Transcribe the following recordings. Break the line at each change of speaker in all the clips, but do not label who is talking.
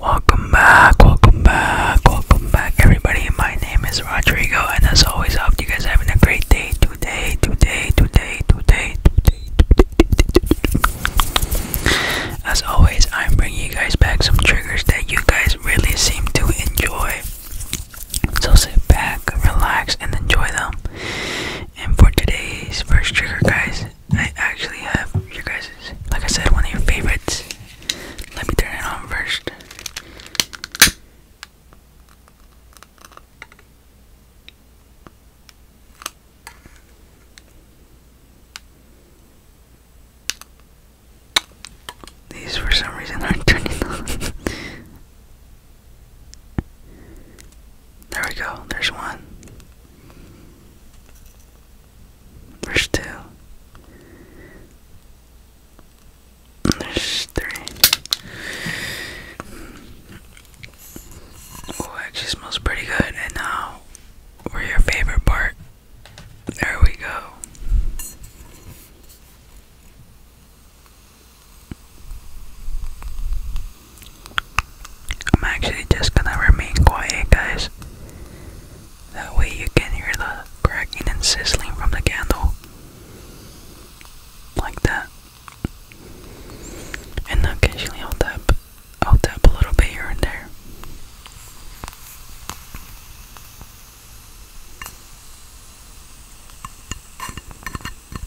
Welcome back, welcome back, welcome back, everybody. My name is Rodrigo, and as always, I hope you guys are having a great day today, today, today, today, today, As always, I'm bringing you guys back some triggers that you guys really seem to enjoy. So sit back, relax, and enjoy them. And for today's first trigger, guys, I actually have your guys, like I said, one of your favorites. Let me turn it on first. These for some reason aren't turning on. There we go. There's one. There's two. There's three. Oh, actually smells pretty good. And now, we're your favorite part. There we go. I'm actually just gonna remain quiet, guys. That way you can hear the cracking and sizzling from the candle. Like that. And occasionally I'll tap I'll tap a little bit here and there.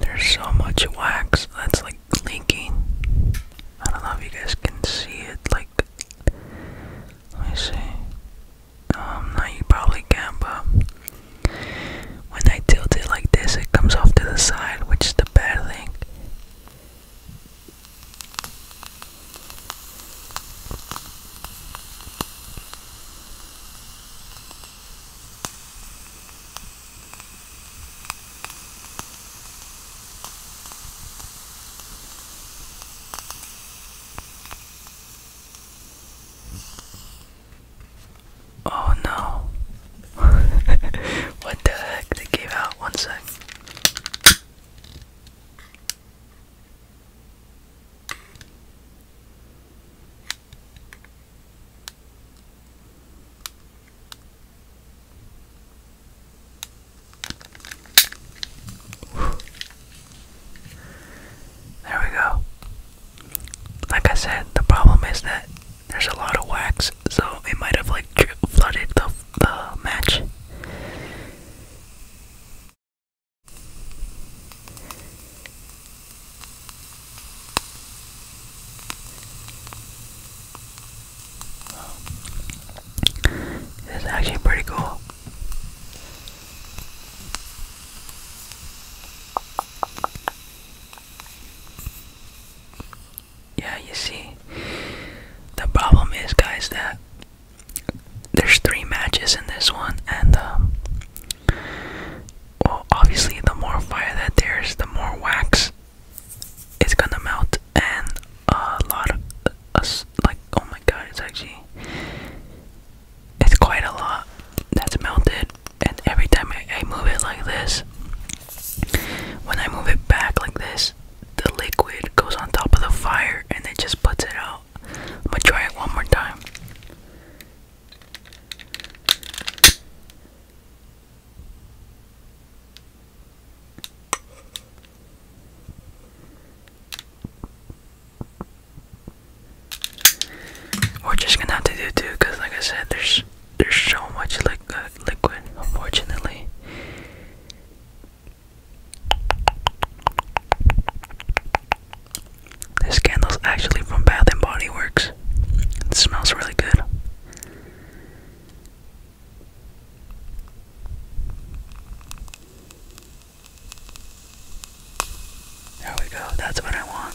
There's so much wax that's like leaking. I don't know if you guys can see it. Like, let me see. Um, no, you probably can, but when I tilt it like this, it comes off to the side, which is the bad thing. Oh no. what the heck? They gave out one sec. There we go. Like I said, the problem is that there's a lot of wax, so it might have like flooded the, the match. It's actually pretty cool. Yeah, you see, the problem is, guys, that there's three matches in this one, and um, well, obviously, the more fire that there's, the more wax it's gonna melt and a lot of us like oh my god it's actually it's quite a lot that's melted and every time I, I move it like this when I move it back like this the liquid goes on top of the fire and it just puts it out I'm gonna try it one more time we're just gonna have to do two, cause like I said, there's there's so much uh, liquid, unfortunately. This candle's actually from Bath and Body Works. It smells really good. There we go, that's what I want.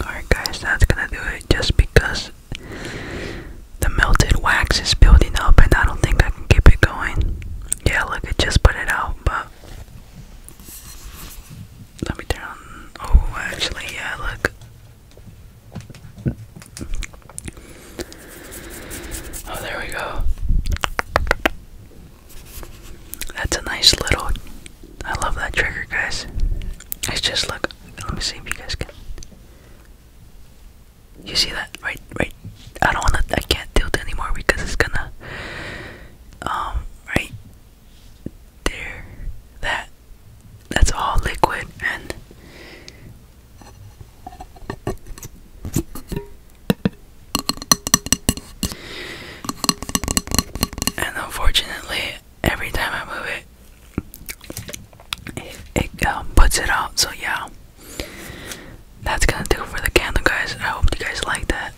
Alright guys, that's gonna do it just because the melted wax is building up and I don't think I can keep it going. Yeah, look, I just put it out, but let me turn on. Oh, actually, yeah, look. Oh, there we go. That's a nice little. I love that trigger, guys. It's just look. Let me see if you guys can. You see that? Right, right. I don't wanna. I can't tilt anymore because it's gonna. Um, right there. That. That's all liquid and. And unfortunately, every time I move it, it, um, puts it out. So yeah, that's gonna do for the candle, guys. I hope you guys like that.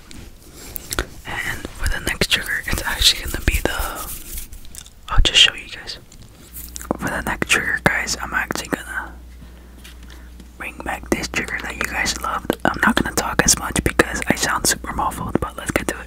And for the next trigger, it's actually gonna be the. I'll just show you guys. For the next trigger, guys, I'm actually gonna bring back this trigger that you guys loved. I'm not gonna talk as much because I sound super muffled, but let's get to it.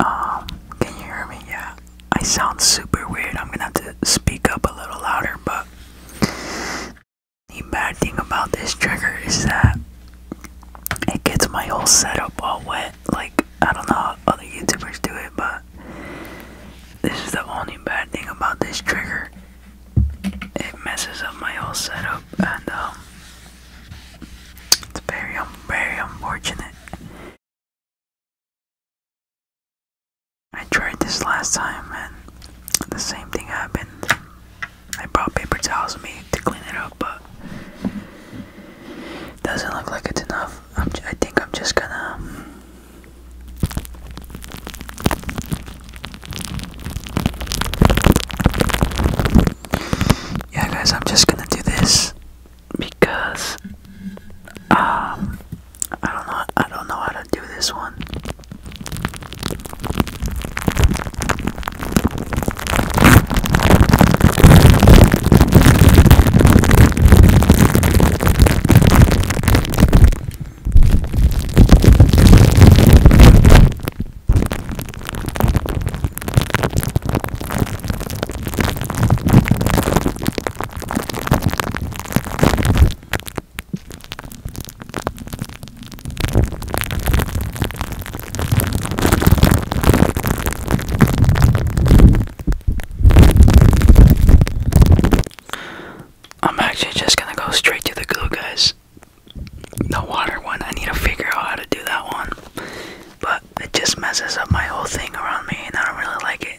Um, can you hear me? Yeah. I sound super weird. I'm gonna have to speak up a little louder, but the bad thing about this trigger is that it gets my whole setup all wet. Like, I don't know how other YouTubers do it, but this is the only bad thing about this trigger. It messes up my whole setup, and um, it's very, um, very unfortunate. I tried this last time and the same thing happened. I brought paper towels with me to clean it up, but doesn't look like it's enough. I'm j i think I'm just gonna. Yeah, guys, I'm just gonna do this because um I don't know I don't know how to do this one. I'm actually just gonna go straight to the glue, guys. The water one, I need to figure out how to do that one. But it just messes up my whole thing around me, and I don't really like it.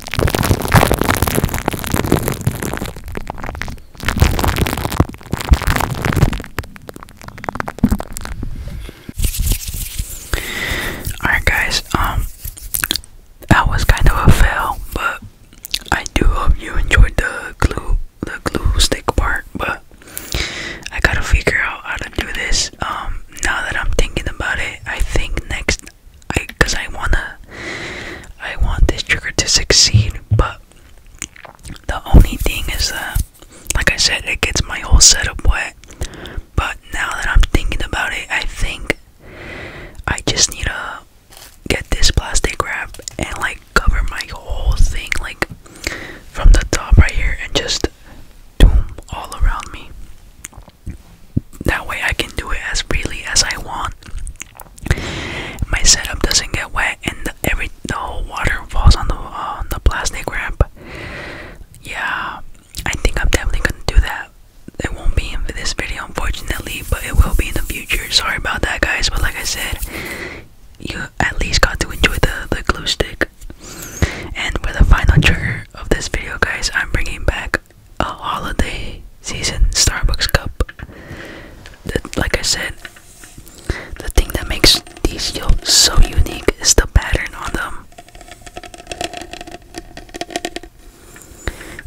Alright guys, um that was kind of a fail, but I do hope you enjoyed the glue the glue stick part, but I gotta figure out how to do this. Um now that I'm thinking about it, I think next I because I wanna I want this trigger to succeed, but the only thing is that like I said it gets my whole setup wet. But now that I'm thinking about it, I think I just need to get this plastic wrap and like cover my whole thing like from the top right here and just doom all around me. That way I can do it as freely as I want. My setup doesn't get wet, and the, every the whole water falls on the uh, on the plastic ramp. Yeah, I think I'm definitely gonna do that. It won't be in this video, unfortunately, but it will be in the future. Sorry about that, guys. But like I said, you at least got to enjoy the the glue stick. And for the final trigger of this video, guys, I'm bringing back a holiday season Starbucks cup. That, like I said, the thing that makes these yolks so unique is the pattern on them.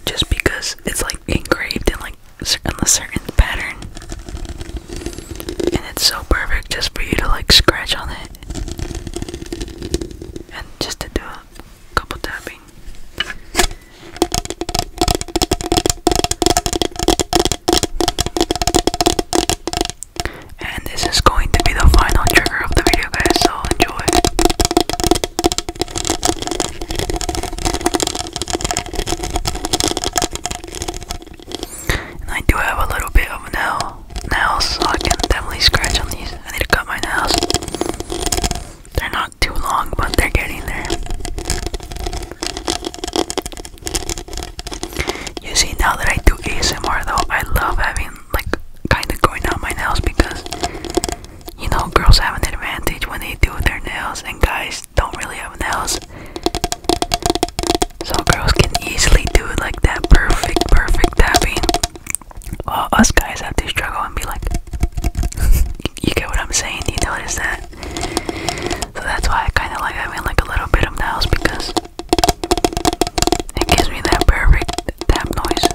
Just because it's like engraved in like on a certain pattern, and it's so perfect just for you to like scratch on it, and just to do couple tapping. And this is going to be the final trigger of the video, guys, so enjoy. I do have a little bit of an L nails, so I can definitely scratch on these. I need to cut my nails. They're not too long, but they're getting there. You see, now that I do ASMR though, I love having like kind of going out my nails because you know girls have an advantage when they do their nails, and guys don't really have nails. So girls can easily do it like that perfect, perfect tapping. Well, us guys have to struggle and be like, you get what I'm saying? Do you notice that? So that's why I kind of like having like a little bit of nails because it gives me that perfect tap noise.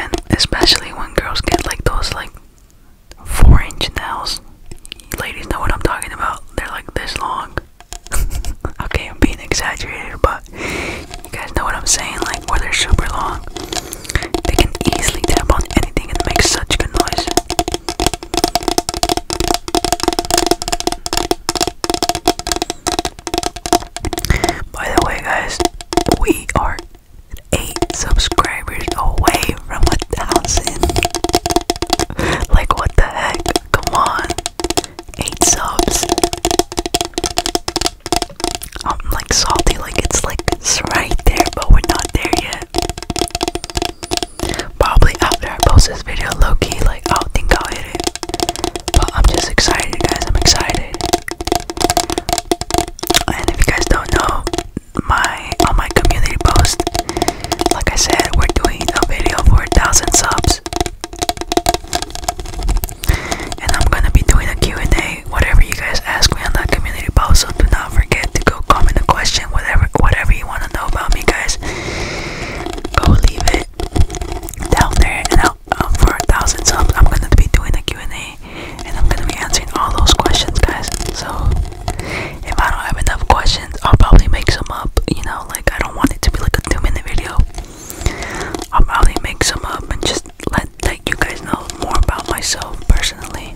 And especially when girls get like those like four inch nails. ladies know what I'm talking about. They're like this long. okay, I'm being exaggerated, but you guys know what I'm saying. Like, where they're super long, they can easily tap on anything and make such good noise. By the way, guys, we are eight subscribers away from a thousand. like, what the heck? Come on. Eight subs. I'm like salty, like it's like it's right there, but we're not there yet. Probably after I post this video, low key, like I'll think I'll hit it. But I'm just excited, guys. I'm excited. And if you guys don't know, my on my community post, like I said, we're doing a video for a thousand subs. And I'm gonna be doing a Q&A, whatever you guys ask me on that community post, so do not forget to go comment a question, whatever whatever you wanna know about me guys. Go leave it down there and i uh, for a thousand subs I'm gonna be doing a Q&A and I'm gonna be answering all those questions guys. So if I don't have enough questions I'll probably make some up, you know, like like I don't want it to be like a two minute video. I'll probably make some up and just let like you guys know more about myself personally.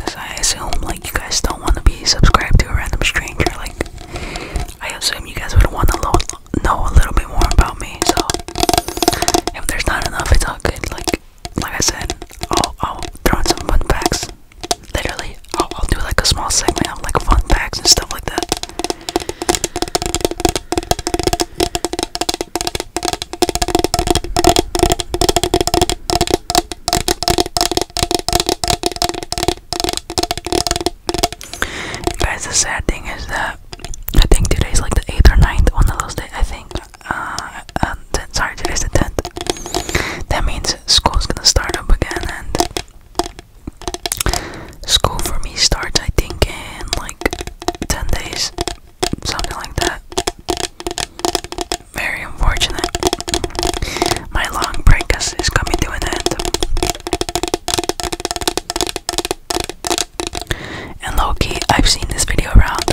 Cause I assume like you guys don't want to be subscribed to a random stranger. Like I assume you guys would want to know a little bit more about me. So if there's not enough, it's all good. Like like I said, I'll I'll throw in some fun facts literally I'll, do like a small segment of like fun facts and stuff like that guys the sad thing is that i think today's like the 8th or 9th one of those days i think uh, uh sorry today's the 10th that means school's gonna start up again and school for me starts I think in like 10 days something like that very unfortunate my long break is, is coming to an end and Loki I've seen this video around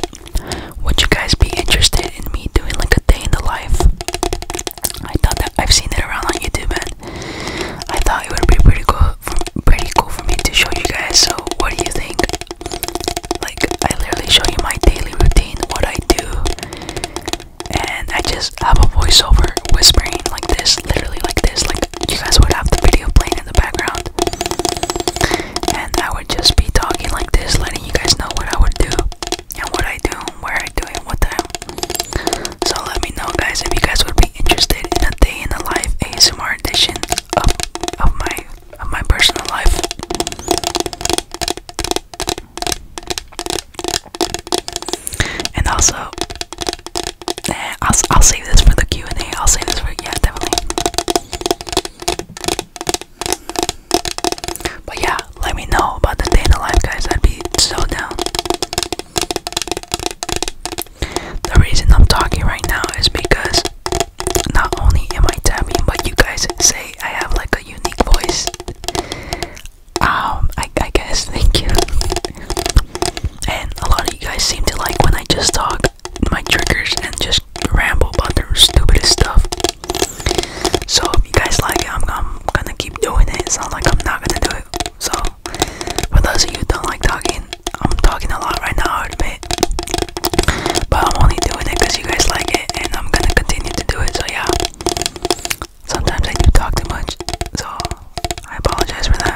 would you guys be interested in me doing like a day in the life I thought that I've seen it around on YouTube, and I thought it would be pretty cool, for, pretty cool for me to show you guys. So, what do you think? Like, I literally show you my daily routine, what I do, and I just have a voiceover whispering like this, literally like this. Like, you guys would have the video playing in the background, and I would just be talking like this, letting you guys know what I would do and what I do, where I do it, what time. So let me know, guys, if you guys would be interested in a day in the life ASMR edition of my of my personal life. And also, eh, I'll I'll save this for the Q and A. I'll save this for yeah, definitely. But yeah, let me know about the day in life, guys. I'd be so down. The reason I'm talking right now is because not only am I tapping, but you guys say I have like a unique voice. Um, I guess, thank you. and a lot of you guys seem to like when I just talk my triggers and just ramble about the stupidest stuff. So if you guys like it, I'm, gonna keep doing it. It's not like I'm not gonna do it. So for those of you who don't like talking, I'm talking a lot right now, I admit. But I'm only doing it because you guys like it, and I'm gonna continue to do it. So yeah. Sometimes I do talk too much, so I apologize for that.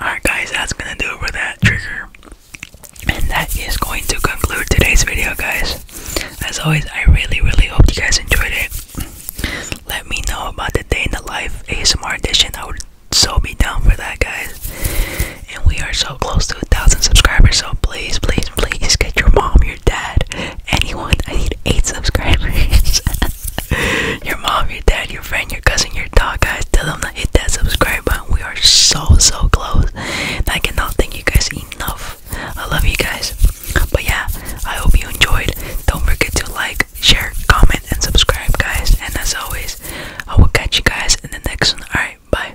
Alright, guys, that's gonna do it for that trigger. And that is going to conclude today's video, guys. As always, I really, really hope you guys enjoyed it. Let me know about the day in the life ASMR edition. I would so be down for that, guys. And we are so close to a thousand subscribers, so please, please, please, get your mom, your dad, anyone. I need eight subscribers. your mom, your dad, your friend, your cousin, your dog, guys. Tell them to hit that subscribe button. We are so, so close. I cannot thank you guys enough. I love you guys. But yeah, I hope you enjoyed. Don't forget to like, share, comment, and subscribe, guys. And as always, I will catch you guys in the next one. Alright, bye.